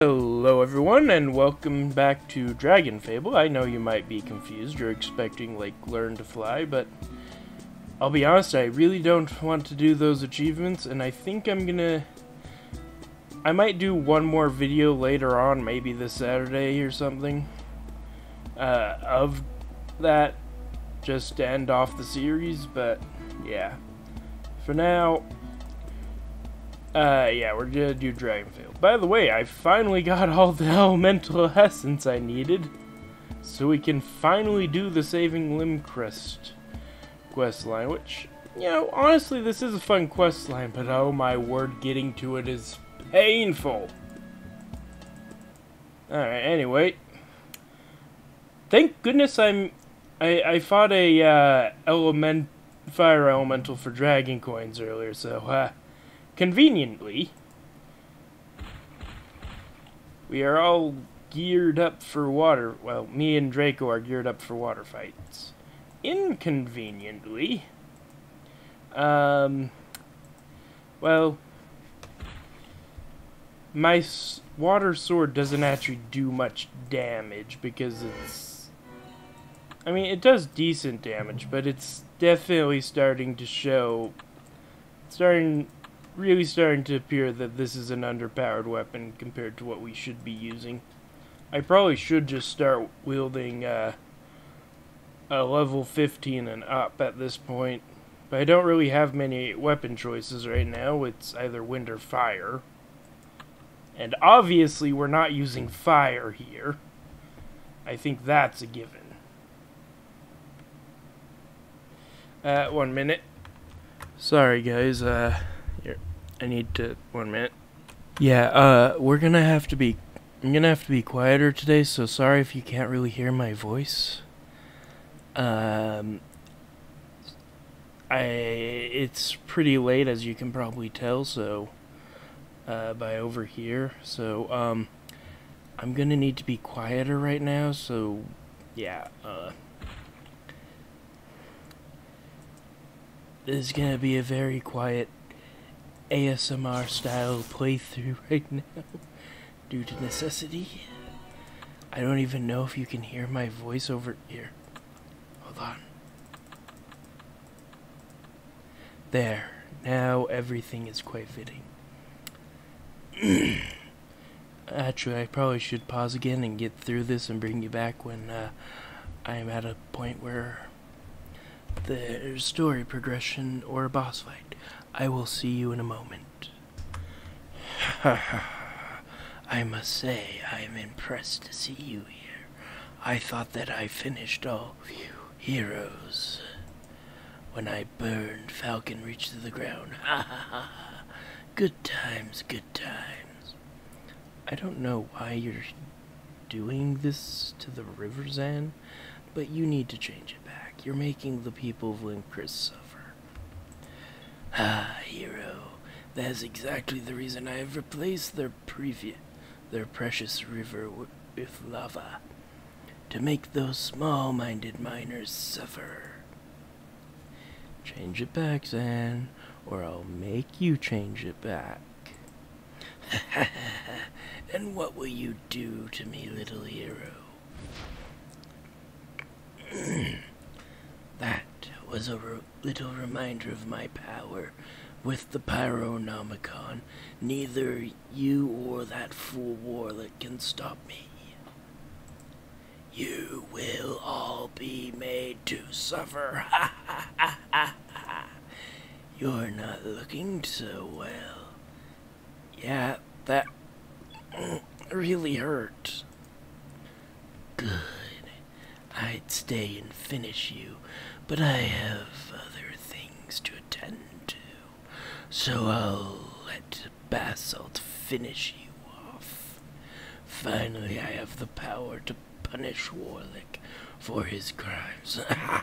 Hello everyone and welcome back to Dragon Fable. I know you might be confused, you're expecting like learn to fly, but I'll be honest, I really don't want to do those achievements and I think I'm gonna... I might do one more video later on, maybe this Saturday or something, uh, of that just to end off the series, but yeah. For now, uh, yeah, we're gonna do Dragonfield. By the way, I finally got all the elemental essence I needed, so we can finally do the Saving Limb quest line, which, you know, honestly, this is a fun quest line, but oh my word, getting to it is painful. Alright, anyway. Thank goodness I'm I I fought a uh, element fire elemental for dragon coins earlier, so uh, conveniently we are all geared up for water. Well, me and Draco are geared up for water fights. Inconveniently, um, well, my water sword doesn't actually do much damage because it's I mean, it does decent damage, but it's definitely starting to show... Starting... Really starting to appear that this is an underpowered weapon compared to what we should be using. I probably should just start wielding uh, a level 15 and up at this point. But I don't really have many weapon choices right now. It's either wind or fire. And obviously we're not using fire here. I think that's a given. Uh, one minute. Sorry guys, uh, I need to, one minute. Yeah, uh, we're gonna have to be, I'm gonna have to be quieter today, so sorry if you can't really hear my voice. Um, I it's pretty late as you can probably tell, so uh, by over here. So um, I'm gonna need to be quieter right now. So yeah, uh, this is gonna be a very quiet ASMR style playthrough right now due to necessity. I don't even know if you can hear my voice over here. Hold on. There. Now everything is quite fitting. Actually, I probably should pause again and get through this and bring you back when uh, I am at a point where the story progression or a boss fight. I will see you in a moment. I must say, I am impressed to see you here. I thought that I finished all heroes when I burned Falcon reached to the ground. Ha ha ha Good times, good times. I don't know why you're doing this to the river Zan, but you need to change it back. You're making the people of Limpris suffer. Ah, hero. That's exactly the reason I have replaced their preview their precious river with lava to make those small minded miners suffer. Change it back, Zan, or I'll make you change it back. and what will you do to me, little hero? that was a little reminder of my power with the Pyronomicon. Neither you or that fool warlock can stop me. You will all be made to suffer. Ha ha ha ha ha. You're not looking so well. Yeah, that really hurt. Good. I'd stay and finish you, but I have other things to attend to, so I'll let Basalt finish you off. Finally, I have the power to punish Warlick for his crimes. well,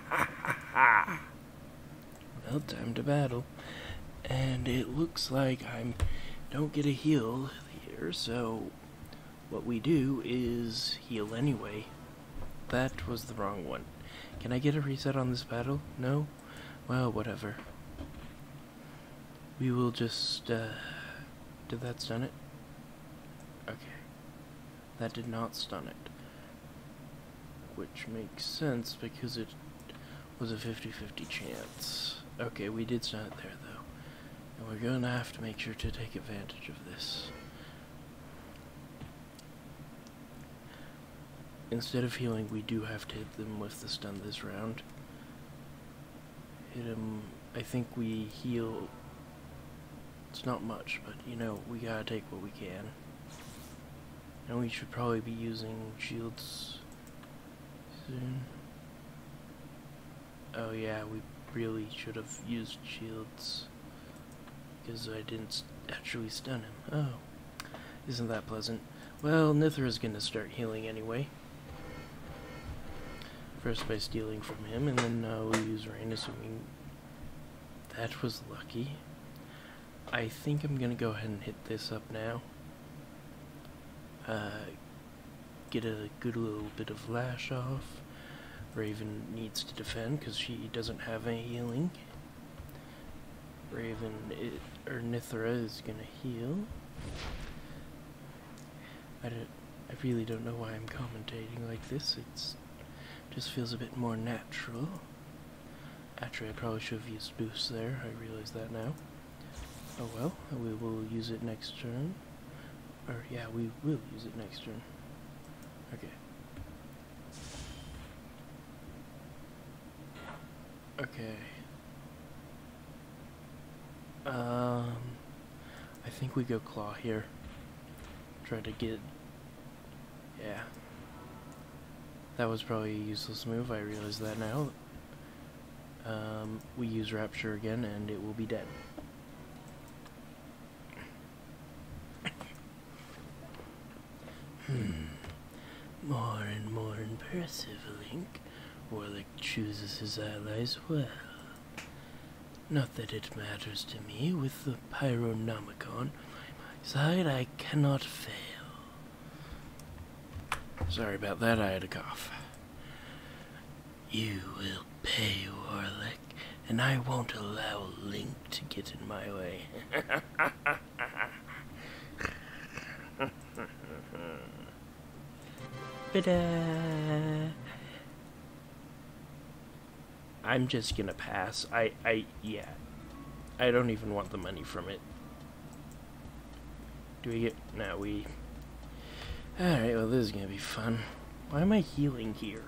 time to battle. And it looks like I don't get a heal here, so what we do is heal anyway. That was the wrong one. Can I get a reset on this battle? No? Well, whatever. We will just, uh, Did that stun it? Okay. That did not stun it. Which makes sense because it was a 50-50 chance. Okay, we did stun it there, though. And we're gonna have to make sure to take advantage of this. Instead of healing, we do have to hit them with the stun this round. Hit them. I think we heal. It's not much, but you know, we gotta take what we can. And we should probably be using shields soon. Oh yeah, we really should have used shields. Because I didn't actually stun him. Oh. Isn't that pleasant? Well, Nithra's gonna start healing anyway. First by stealing from him, and then uh, we'll use Rain, assuming that was lucky. I think I'm gonna go ahead and hit this up now. Uh, get a good little bit of lash off. Raven needs to defend because she doesn't have any healing. Raven or Nithra is gonna heal. I don't. I really don't know why I'm commentating like this. It's just feels a bit more natural. Actually, I probably should have used boost there. I realize that now. Oh well, we will use it next turn. Or yeah, we will use it next turn. Okay. Okay. Um, I think we go claw here. Try to get. Yeah. That was probably a useless move. I realize that now. Um, we use Rapture again, and it will be dead. Hmm. More and more impressive, Link. Warlick chooses his allies well. Not that it matters to me, with the Pyronomicon on my side, I cannot fail. Sorry about that, I had a cough. You will pay, Warlick, and I won't allow Link to get in my way. but, uh, I'm just gonna pass. I, I, yeah. I don't even want the money from it. Do we get... No, we... Alright, well this is gonna be fun. Why am I healing here?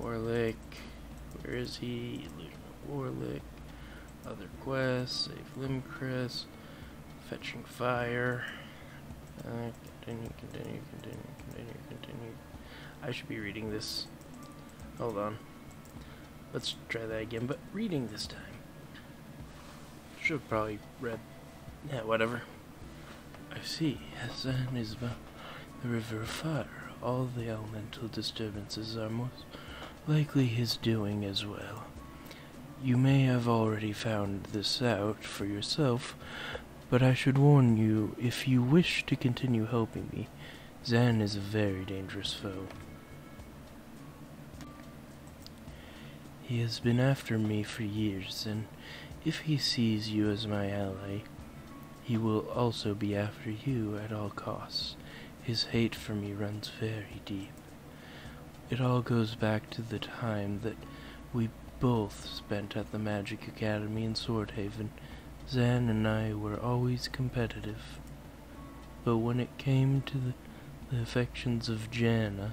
Warlick, where is he? Illusion Warlick, other quests, save Limcris, fetching fire. continue, continue, continue, continue, continue. I should be reading this. Hold on. Let's try that again, but reading this time. Should probably red. Yeah, whatever. I see. Zan is about the river of fire. All the elemental disturbances are most likely his doing as well. You may have already found this out for yourself, but I should warn you, if you wish to continue helping me, Zan is a very dangerous foe. He has been after me for years, and if he sees you as my ally, he will also be after you at all costs. His hate for me runs very deep. It all goes back to the time that we both spent at the Magic Academy in Swordhaven. Zan and I were always competitive. But when it came to the, the affections of Janna,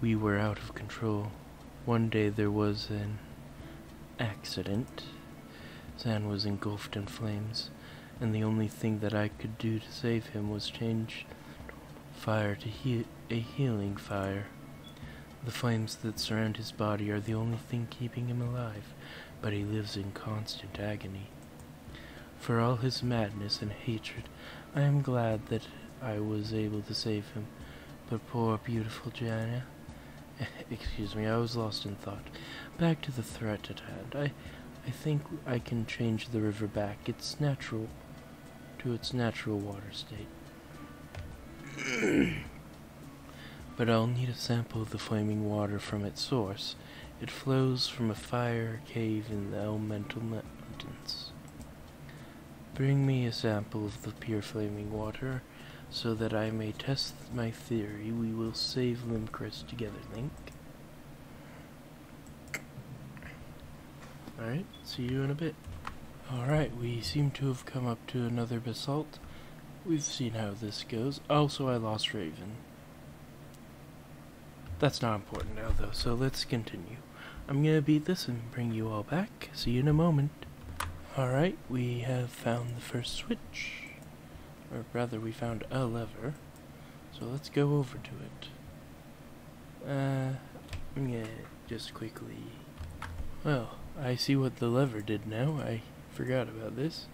we were out of control. One day there was an accident. Zan was engulfed in flames, and the only thing that I could do to save him was change fire to a healing fire. The flames that surround his body are the only thing keeping him alive, but he lives in constant agony. For all his madness and hatred, I am glad that I was able to save him, but poor, beautiful Janna. Excuse me, I was lost in thought. Back to the threat at hand. I, I think I can change the river back. It's natural to its natural water state. but I'll need a sample of the flaming water from its source. It flows from a fire cave in the elemental mountains. Bring me a sample of the pure flaming water, so that I may test my theory. We will save Limcrest together, Link. Alright, see you in a bit. Alright, we seem to have come up to another basalt. We've seen how this goes. Also, I lost Raven. That's not important now, though, so let's continue. I'm gonna beat this and bring you all back. See you in a moment. Alright, we have found the first switch. Or rather, we found a lever. So let's go over to it. Uh, I'm gonna just quickly... Well, I see what the lever did now. I forgot about this.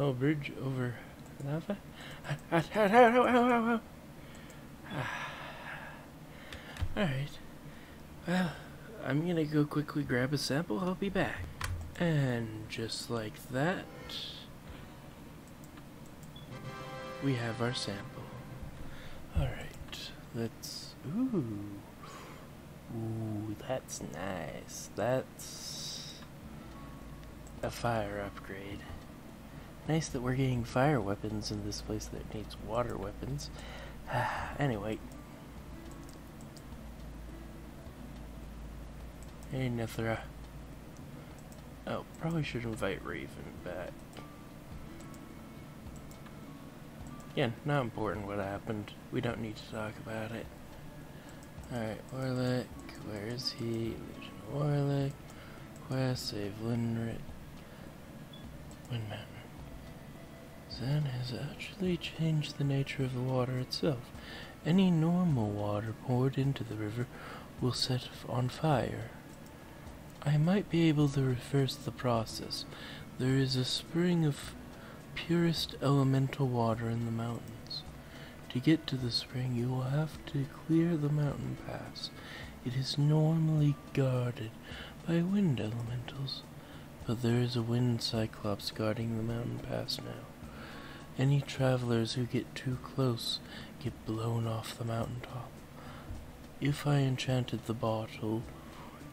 Oh, bridge over lava? Ah, ah, ah, Alright. Well, I'm gonna go quickly grab a sample, I'll be back. And just like that, we have our sample. Alright, let's... Ooh. Ooh, that's nice. That's a fire upgrade. Nice that we're getting fire weapons in this place that needs water weapons. anyway. Hey Another. Oh, probably should invite Raven back. Again, yeah, not important what happened. We don't need to talk about it. Alright, Warlick, where is he? Warlick, quest, save Lindrit. Wind Mountain. Zen has actually changed the nature of the water itself. Any normal water poured into the river will set on fire. I might be able to reverse the process. There is a spring of purest elemental water in the mountains. To get to the spring, you will have to clear the mountain pass it is normally guarded by wind elementals, but there is a wind cyclops guarding the mountain pass now. Any travelers who get too close get blown off the mountain top. If I enchanted the bottle,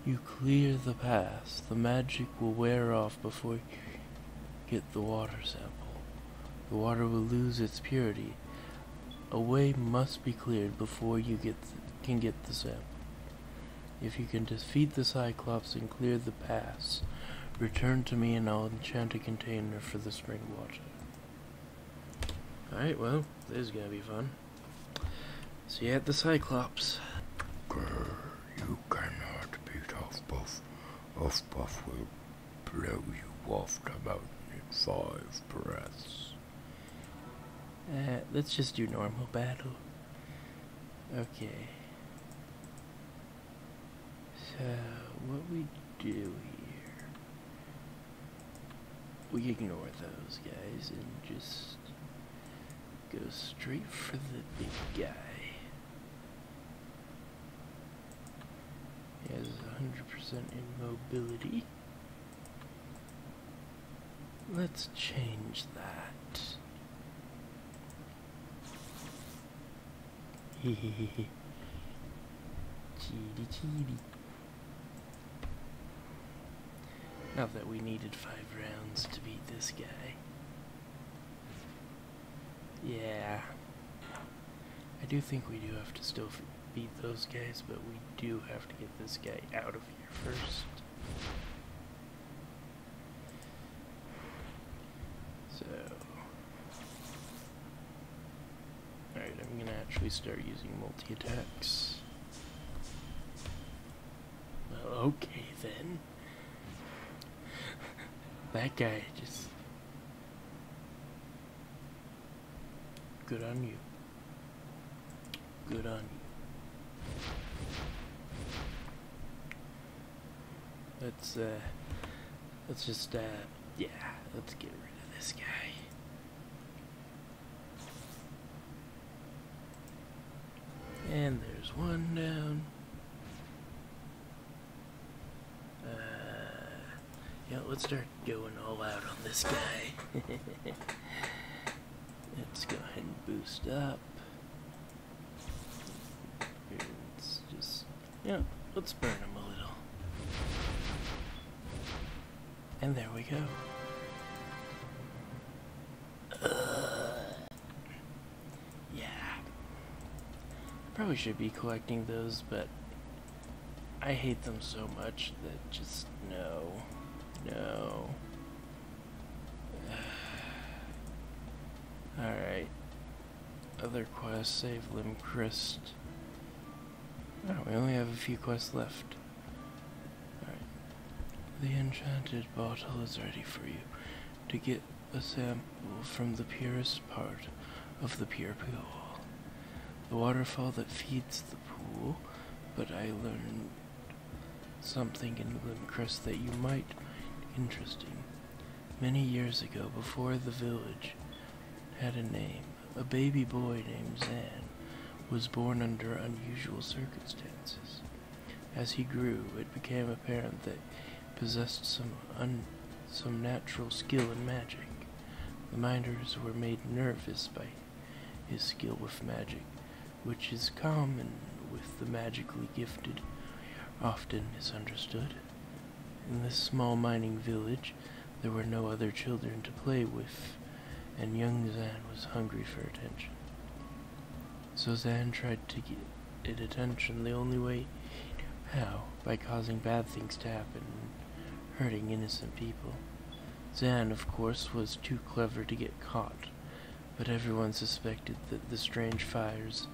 you clear the pass, the magic will wear off before you get the water sample. The water will lose its purity. A way must be cleared before you get can get the Zep. If you can defeat the Cyclops and clear the pass, return to me and I'll enchant a container for the spring water. Alright, well, this is gonna be fun. See you at the Cyclops. Grr, you cannot beat off Buff. Off Buff will blow you off about in five breaths. Uh, let's just do normal battle. Okay. So, what we do here... We ignore those guys and just go straight for the big guy. He has 100% immobility. Let's change that. Hehehehe. Chibi chibi. Not that we needed five rounds to beat this guy. Yeah. I do think we do have to still beat those guys, but we do have to get this guy out of here first. So, alright, I'm gonna actually start using multi attacks. Well, okay then. that guy just. Good on you. Good on you. Let's, uh, let's just, uh, yeah, let's get rid of this guy. And there's one down. Uh, yeah, let's start going all out on this guy. Let's go ahead and boost up. let's just, yeah, let's burn them a little. And there we go. probably should be collecting those, but I hate them so much that just no, no, Alright. Other quest, save Limcrist. Oh, we only have a few quests left. Alright. The enchanted bottle is ready for you. To get a sample from the purest part of the pure pool. The waterfall that feeds the pool, but I learned something in Glimcrest that you might find interesting. Many years ago, before the village had a name, a baby boy named Zan was born under unusual circumstances. As he grew, it became apparent that he possessed some un some natural skill in magic. The miners were made nervous by his skill with magic, which is common with the magically gifted, often misunderstood. In this small mining village, there were no other children to play with, and young Zan was hungry for attention. So Zan tried to get attention the only way how, by causing bad things to happen and hurting innocent people. Zan, of course, was too clever to get caught, but everyone suspected that the strange fires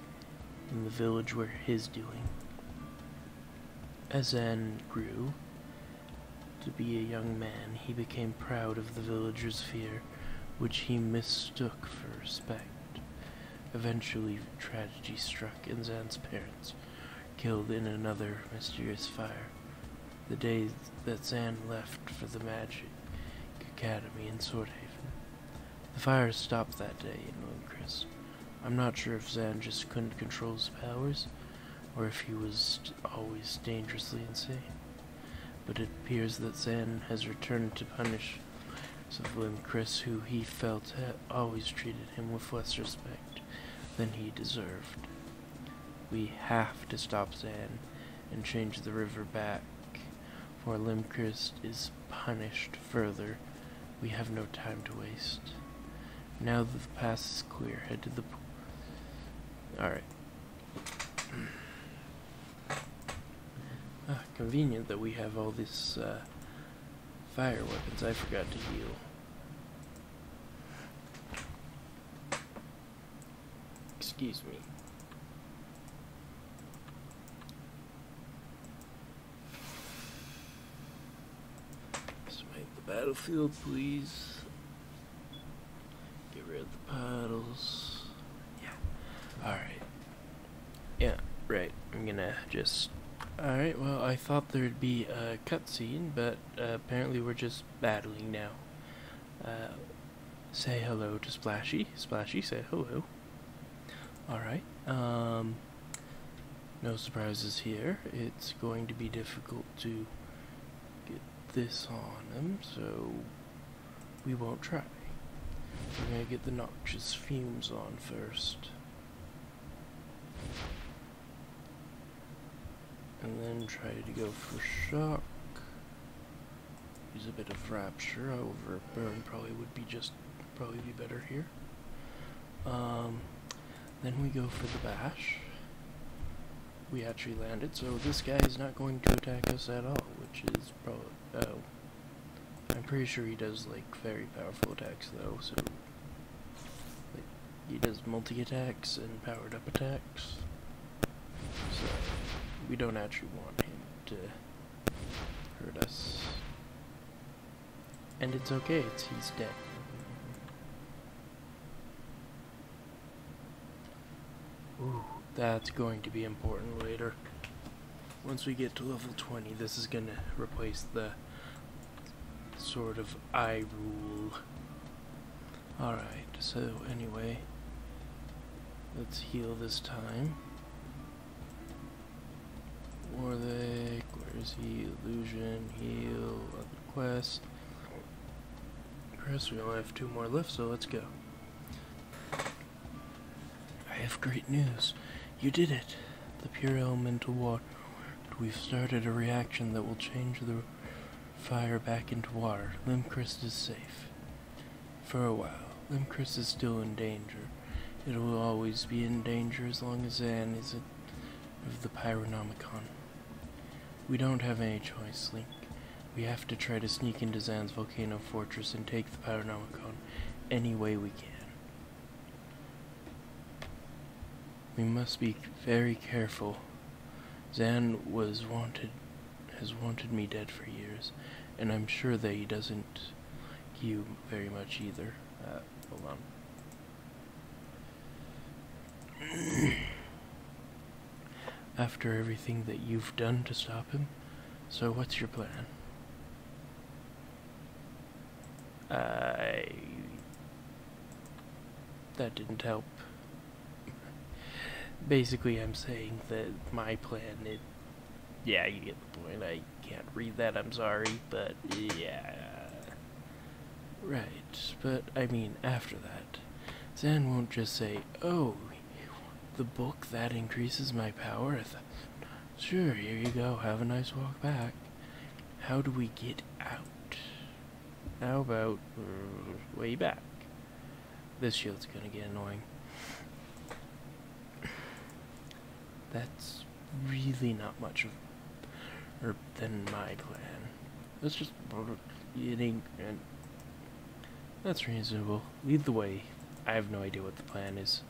in the village were his doing. As Anne grew to be a young man, he became proud of the villagers' fear, which he mistook for respect. Eventually, tragedy struck, and Zan's parents killed in another mysterious fire the day that Zan left for the Magic Academy in Swordhaven. The fires stopped that day in Windcrest. I'm not sure if Zan just couldn't control his powers, or if he was always dangerously insane. But it appears that Zan has returned to punish of Chris, who he felt had always treated him with less respect than he deserved. We have to stop Zan and change the river back, for Limkrist is punished further. We have no time to waste. Now that the pass is clear, head to the... Alright. Ah, convenient that we have all these uh, fire weapons. I forgot to heal. Excuse me. let make the battlefield, please. Get rid of the paddles. Yeah. Alright. Yeah, right. I'm gonna just... Alright, well, I thought there'd be a cutscene, but uh, apparently we're just battling now. Uh, Say hello to Splashy. Splashy, say hello. Alright, um, no surprises here. It's going to be difficult to get this on them, so we won't try. We're going to get the noxious fumes on first. And then try to go for shock. Use a bit of rapture, however, burn probably would be just probably be better here. Um, then we go for the bash. We actually landed, so this guy is not going to attack us at all, which is probably. Oh. I'm pretty sure he does like very powerful attacks though, so like he does multi attacks and powered up attacks. So, we don't actually want him to hurt us. And it's okay, it's, he's dead. Ooh, that's going to be important later. Once we get to level 20, this is going to replace the sort of "I rule Alright, so anyway, let's heal this time. Warlick, where is he? Illusion, heal, other quest. Chris, we only have two more left, so let's go. I have great news. You did it! The pure elemental water. We've started a reaction that will change the fire back into water. Limchrist is safe. For a while. Then Chris is still in danger. It will always be in danger as long as Zan is of the Pyronomicon. We don't have any choice, Link. We have to try to sneak into Zan's volcano fortress and take the Pyronomicon any way we can. We must be very careful. Zan was wanted has wanted me dead for years, and I'm sure that he doesn't like you very much either. Uh, hold on. After everything that you've done to stop him, so what's your plan? I. That didn't help. Basically, I'm saying that my plan it. Yeah, you get the point. I can't read that. I'm sorry, but yeah. Right, but I mean, after that, Zen won't just say, "Oh, the book that increases my power." Sure, here you go. Have a nice walk back. How do we get out? How about mm, way back? This shield's gonna get annoying. That's really not much of er, than my plan. Let's just eating and that's reasonable. Lead the way. I have no idea what the plan is.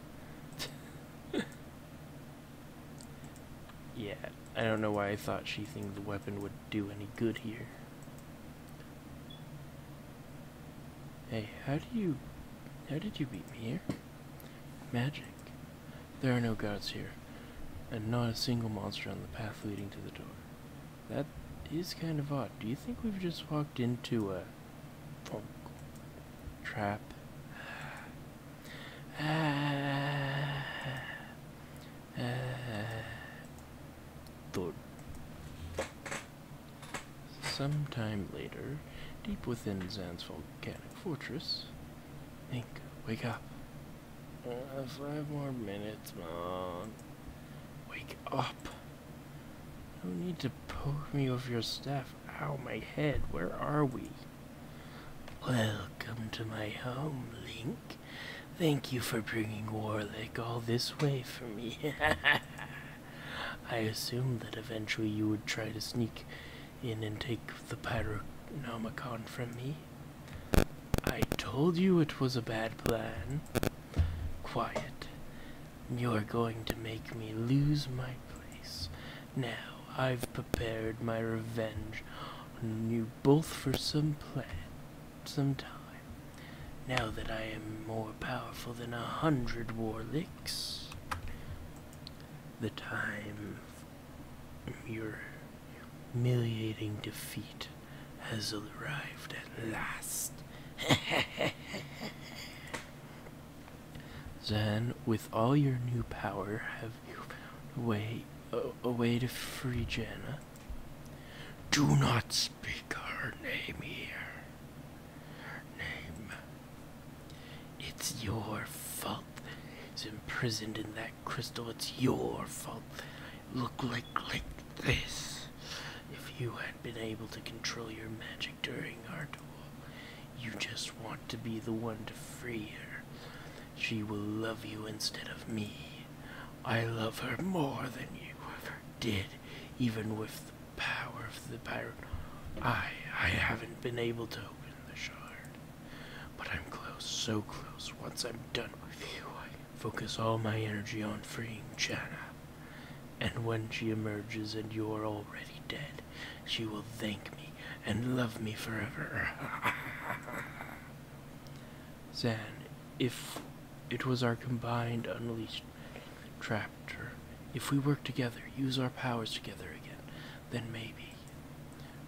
yeah, I don't know why I thought she sheathing the weapon would do any good here. Hey, how do you... How did you beat me here? Magic. There are no guards here, and not a single monster on the path leading to the door. That is kind of odd. Do you think we've just walked into a... trap? Ah. Ah. Thought. Some time later, deep within Zan's volcanic fortress, Link, wake up. Uh, five more minutes, Mom. Wake up. No need to poke me with your staff. Ow, my head. Where are we? Welcome to my home, Link. Thank you for bringing Warlick all this way for me. I assumed that eventually you would try to sneak in and take the Pyronomicon from me. I told you it was a bad plan. Quiet. You're going to make me lose my place. Now, I've prepared my revenge on you both for some plan, some time. Now that I am more powerful than a hundred warlicks, the time your humiliating defeat has arrived at last. Then, with all your new power, have you found a way, a, way to free Janna? Do not speak her name here name. It's your fault. She's imprisoned in that crystal. It's your fault. Look like this. If you had been able to control your magic during our duel, you just want to be the one to free her. She will love you instead of me. I love her more than you ever did even with the power of the pirate. I I haven't been able to open the shard. But I'm close, so close. Once I'm done with you, I focus all my energy on freeing Chana. And when she emerges and you're already dead, she will thank me and love me forever. Zan, if it was our combined unleashed trapper. If we work together, use our powers together again, then maybe.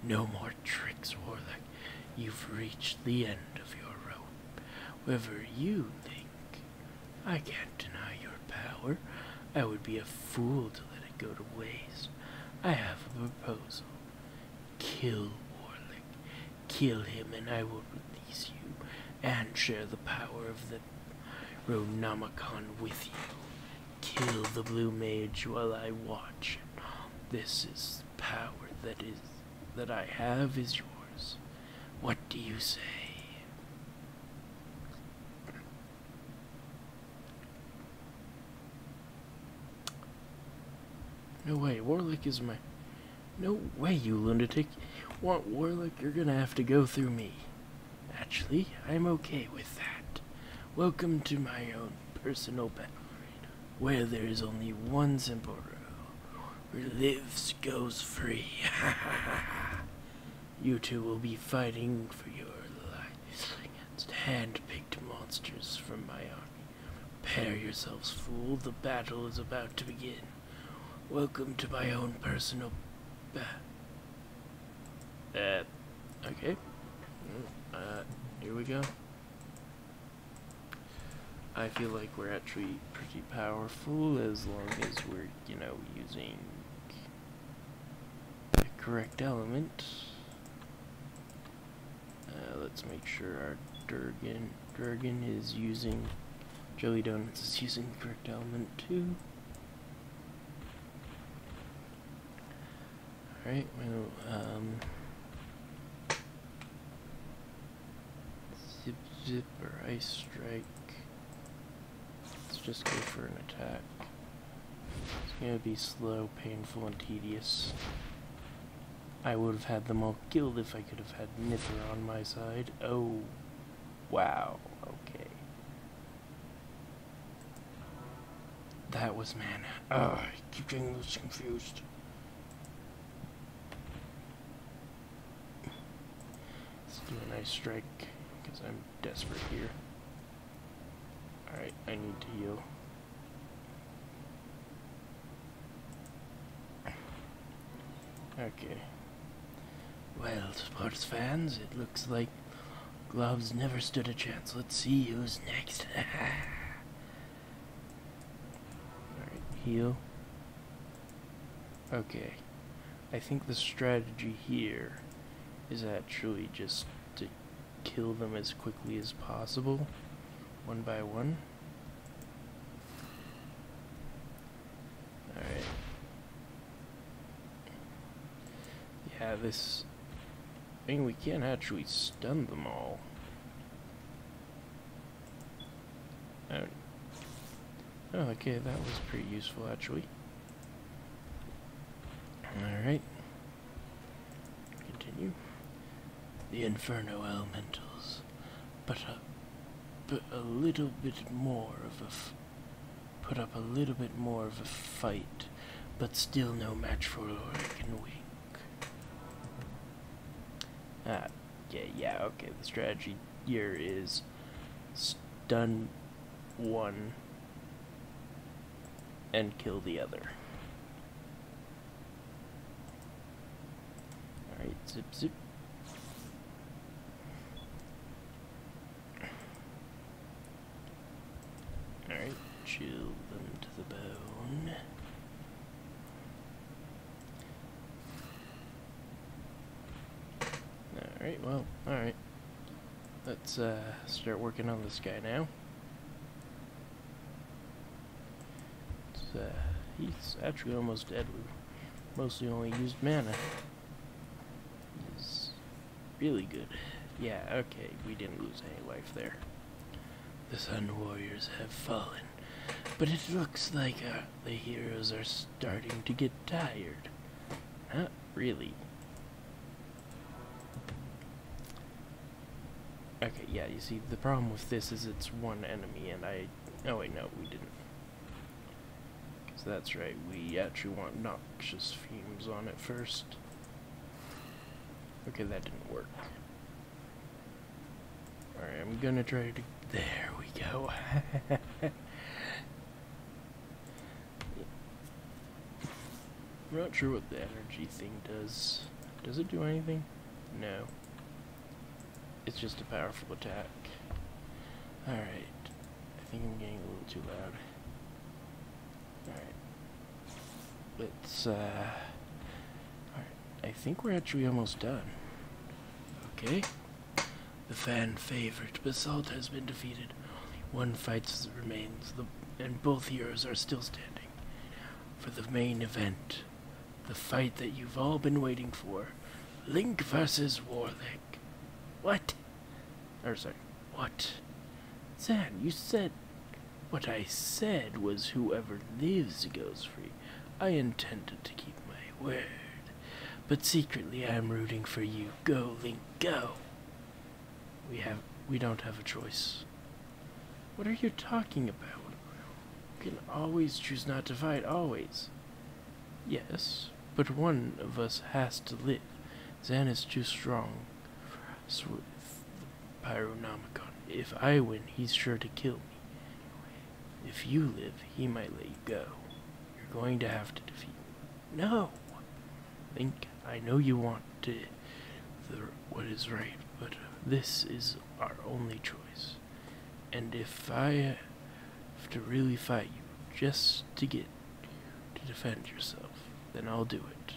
No more tricks, Warlock. You've reached the end of your rope. Whatever you think, I can't deny your power. I would be a fool to let it go to waste. I have a proposal. Kill Warlock. Kill him, and I will release you and share the power of the Ronomicon with you. Kill the blue mage while I watch. This is power that is that I have is yours. What do you say? No way, Warlock is my no way, you lunatic. Want Warlock, you're gonna have to go through me. Actually, I'm okay with that. Welcome to my own personal battle where there is only one simple rule. Where lives goes free. you two will be fighting for your lives against hand-picked monsters from my army. Prepare yourselves, fool. The battle is about to begin. Welcome to my own personal... Uh, okay. Mm, uh, here we go. I feel like we're actually pretty powerful as long as we're, you know, using the correct elements. Uh, let's make sure our Durgan Dragon is using Jelly Donuts is using correct element too? Alright, well um, Zip Zip or Ice Strike. Let's just go for an attack. It's gonna be slow, painful, and tedious. I would have had them all killed if I could have had Nither on my side. Oh. Wow, okay. That was man. Ugh, I keep getting those confused. Let's do a nice strike, because I'm desperate here. Alright, I need to heal. Okay. Well, sports fans, it looks like gloves never stood a chance. Let's see who's next. Alright, heal. Okay. I think the strategy here is actually just to kill them as quickly as possible, one by one. Alright. Yeah, this I mean, we can't actually stun them all. Oh. oh okay, that was pretty useful actually. Alright. Continue. The Inferno Elementals but a, but a little bit more of a, put up a little bit more of a fight, but still no match for Lorik and Wink. Ah, yeah, yeah, okay, the strategy here is stun one and kill the other. Alright, zip zip. Alright, chill them to the bone. Alright, well, alright. Let's uh, start working on this guy now. Uh, he's actually almost dead. We mostly only used mana. It's really good. Yeah, okay, we didn't lose any life there. The Sun Warriors have fallen, but it looks like uh, the heroes are starting to get tired. Not really. Okay, yeah, you see, the problem with this is it's one enemy, and I... Oh, wait, no, we didn't. So that's right, we actually want noxious fumes on it first. Okay, that didn't work. Alright, I'm gonna try to... There we go. I'm not sure what the energy thing does. Does it do anything? No. It's just a powerful attack. Alright. I think I'm getting a little too loud. Alright. Let's, uh, Alright, I think we're actually almost done. Okay. The fan favorite, Basalt, has been defeated. Only one fight remains, the, and both yours are still standing. For the main event, the fight that you've all been waiting for, Link versus Warlick what? Or sorry, what? Zach, you said. What I said was whoever lives goes free. I intended to keep my word. But secretly I am rooting for you. Go, Link, go. We have we don't have a choice. What are you talking about? You can always choose not to fight, always. Yes, but one of us has to live. Xan is too strong for Pyronomicon. If I win, he's sure to kill me. If you live, he might let you go. You're going to have to defeat me. No! think. I know you want to the, what is right, but this is our only choice. And if I to really fight you just to get you to defend yourself, then I'll do it.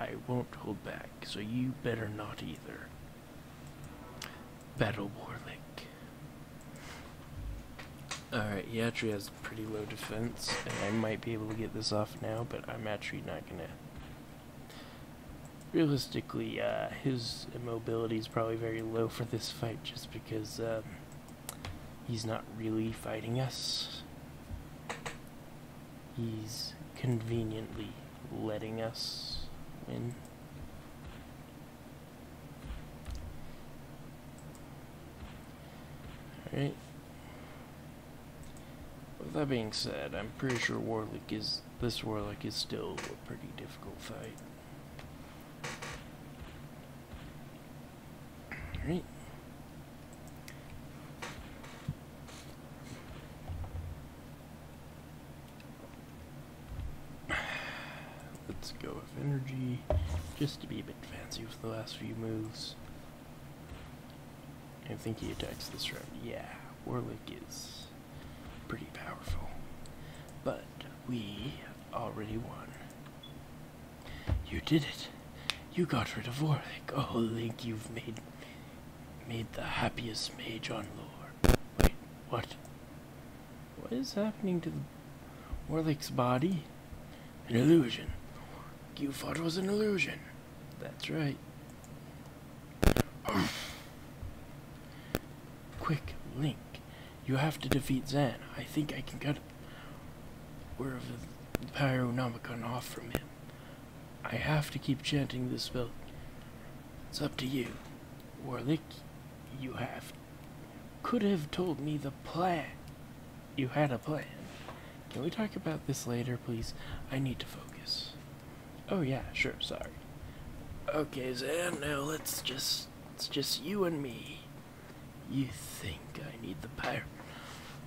I won't hold back, so you better not either. Battle Warlick. Alright, he has pretty low defense, and I might be able to get this off now, but I'm actually not gonna realistically, uh, his immobility is probably very low for this fight just because um, He's not really fighting us. He's conveniently letting us win. Alright. With that being said, I'm pretty sure Warlick is this Warlock is still a pretty difficult fight. Alright. Let's go with energy, just to be a bit fancy with the last few moves. I think he attacks this round. Yeah, Warlick is pretty powerful. But we have already won. You did it. You got rid of Warwick. Oh, Link, you've made made the happiest mage on lore. Wait, what? What is happening to the Warlick's body? An illusion. You thought it was an illusion. That's right. Quick, Link you have to defeat Zan. I think I can cut wherever the Pyronomicon off from him. I have to keep chanting this spell. It's up to you. Warlick, you have could have told me the plan. You had a plan. Can we talk about this later, please? I need to focus. Oh yeah, sure, sorry. Okay, Zan, now let's just it's just you and me. You think I need the power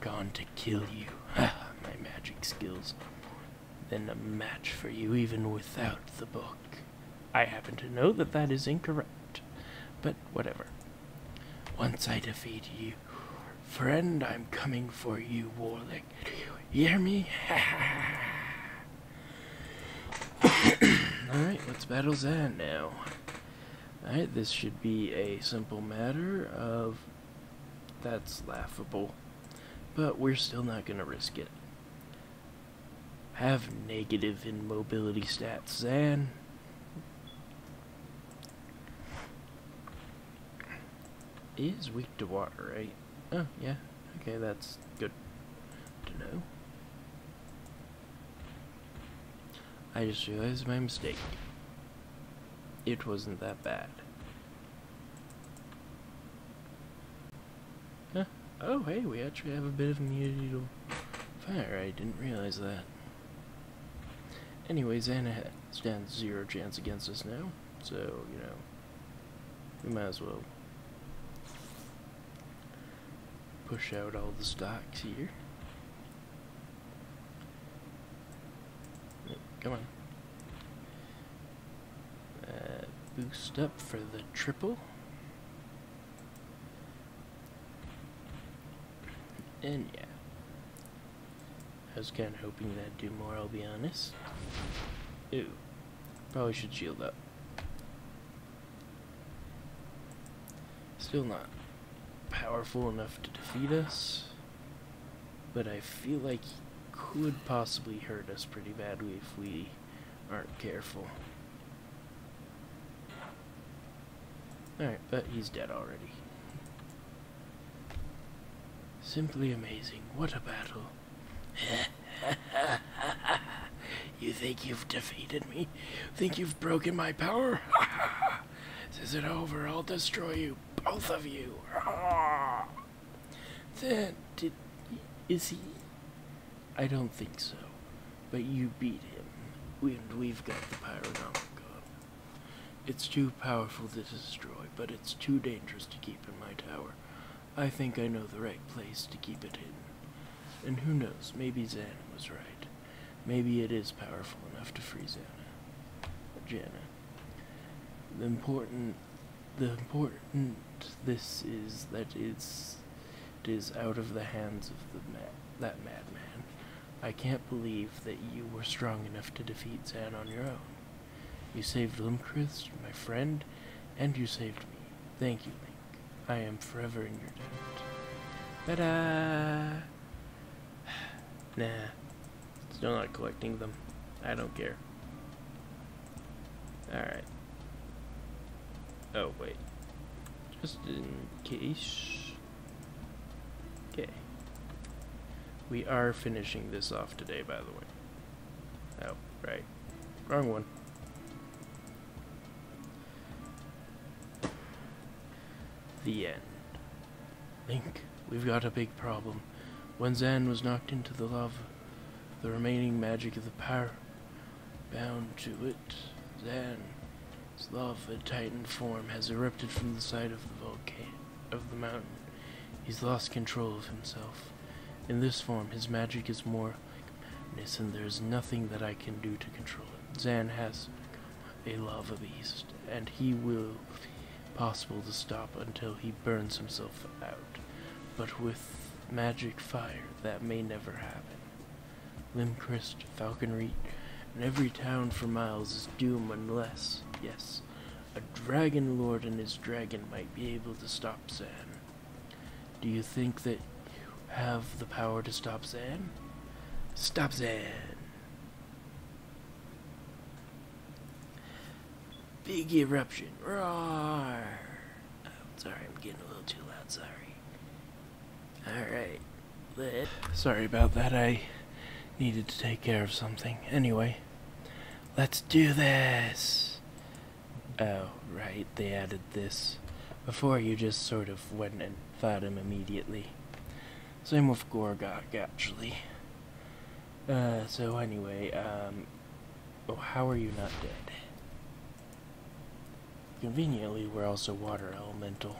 gone to kill you? Ah, my magic skills are more than a match for you even without the book. I happen to know that that is incorrect, but whatever. Once I defeat you, friend, I'm coming for you, Warlick. you hear me? Alright, let's battle Zan now this should be a simple matter of that's laughable, but we're still not going to risk it. Have negative immobility stats, Zan. Is weak to water, right? Oh, yeah. Okay, that's good to know. I just realized my mistake. It wasn't that bad. Huh. Oh, hey, we actually have a bit of a mutual fire. I didn't realize that. Anyways, Anna stands zero chance against us now, so, you know, we might as well push out all the stocks here. Come on. Uh, boost up for the triple. And yeah. I was kind of hoping that'd do more, I'll be honest. Ooh, Probably should shield up. Still not powerful enough to defeat us, but I feel like he could possibly hurt us pretty badly if we aren't careful. Alright, but he's dead already. Simply amazing. What a battle. you think you've defeated me. Think you've broken my power? this is it over. I'll destroy you, both of you. then, did, is he? I don't think so. But you beat him, and we've got the Pyronomicon. It's too powerful to destroy, but it's too dangerous to keep in my tower. I think I know the right place to keep it hidden. And who knows, maybe Xana was right. Maybe it is powerful enough to free Xana. But Janna. The important the important this is that it's it is out of the hands of that madman. I can't believe that you were strong enough to defeat Zan on your own. You saved Limkrist, my friend, and you saved me. Thank you, Link. I am forever in your debt. Ta-da! nah. Still not collecting them. I don't care. Alright. Oh, wait. Just in case. Okay. We are finishing this off today, by the way. Oh, right. Wrong one. The end. Link, we've got a big problem. When Zan was knocked into the lava, the remaining magic of the power bound to it. Zan's lava titan form has erupted from the side of the volcano of the mountain. He's lost control of himself. In this form, his magic is more madness, and there is nothing that I can do to control it. Zan has a lava beast, and he will possible to stop until he burns himself out. But with magic fire, that may never happen. Limcrest, Falconreach, and every town for miles is doomed unless, yes, a dragon lord and his dragon might be able to stop Zan. Do you think that you have the power to stop Zan? Stop Zan! Big eruption. Roar! Oh, sorry, I'm getting a little too loud, sorry. Alright. Sorry about that, I needed to take care of something. Anyway, let's do this! Oh, right, they added this. Before you just sort of went and fought him immediately. Same with Gorgok, actually. Uh, so anyway, um, oh, how are you not dead? Conveniently, we're also water elemental.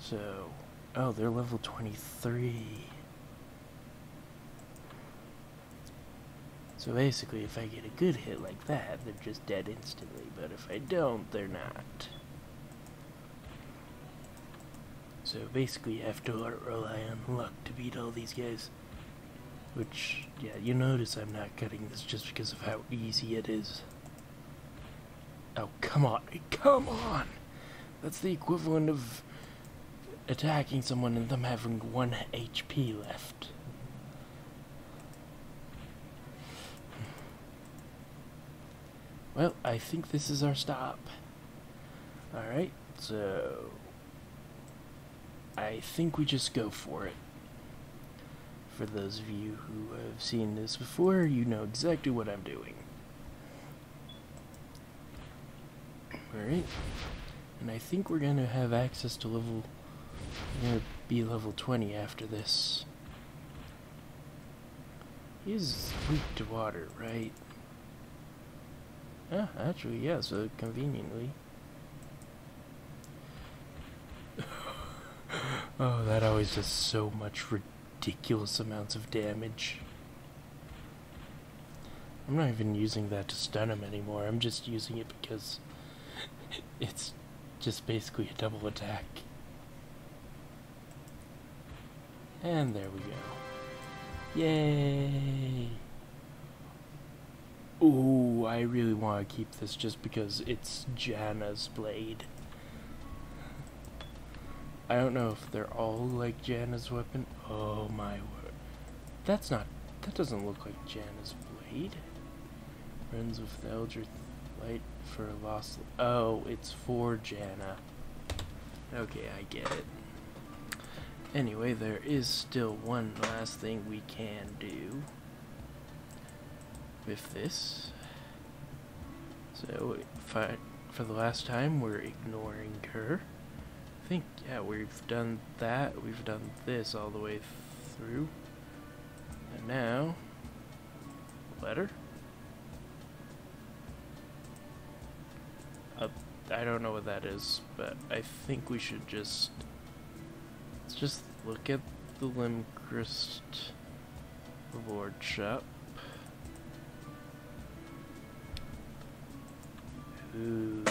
So, oh, they're level 23. So basically, if I get a good hit like that, they're just dead instantly, but if I don't, they're not. So basically, I have to rely on luck to beat all these guys. Which, yeah, you notice I'm not cutting this just because of how easy it is. Oh, come on. Come on! That's the equivalent of attacking someone and them having one HP left. Well, I think this is our stop. Alright, so... I think we just go for it. For those of you who have seen this before, you know exactly what I'm doing. Alright, and I think we're going to have access to level... We're going to be level 20 after this. He's weak to water, right? Yeah, actually, yeah, so conveniently. oh, that always does so much ridiculous amounts of damage. I'm not even using that to stun him anymore, I'm just using it because it's just basically a double attack. And there we go. Yay! Oh, I really want to keep this just because it's Janna's blade. I don't know if they're all like Janna's weapon. Oh my word. That's not... That doesn't look like Janna's blade. Friends with the elder light for a lost... Oh, it's for Janna. Okay, I get it. Anyway, there is still one last thing we can do with this. So, I, for the last time, we're ignoring her. I think, yeah, we've done that. We've done this all the way through. And now, Letter? Uh, I don't know what that is, but I think we should just... Let's just look at the Limchrist Reward Shop. Ooh.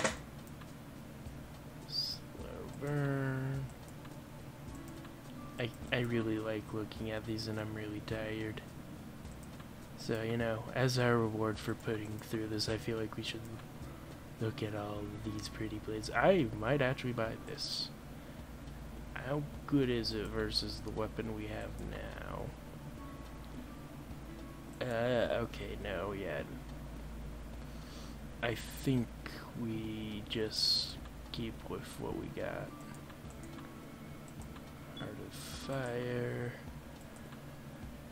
I, I really like looking at these and I'm really tired. So, you know, as our reward for putting through this, I feel like we should look at all these pretty blades. I might actually buy this. How good is it versus the weapon we have now? Uh, okay, no, yet. I think we just keep with what we got. Heart of Fire.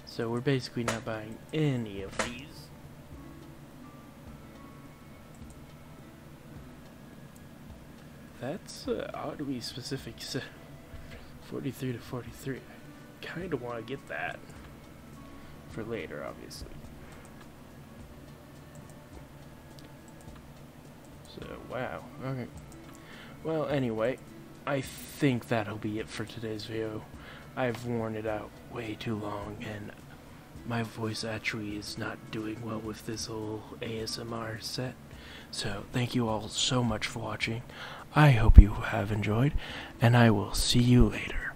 So we're basically not buying any of these. That's uh, ought specific. Uh, 43 to 43. I kind of want to get that for later, obviously. So, wow. Okay. Well, anyway, I think that'll be it for today's video. I've worn it out way too long, and my voice actually is not doing well with this whole ASMR set. So, thank you all so much for watching. I hope you have enjoyed, and I will see you later.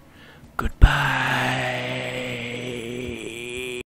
Goodbye!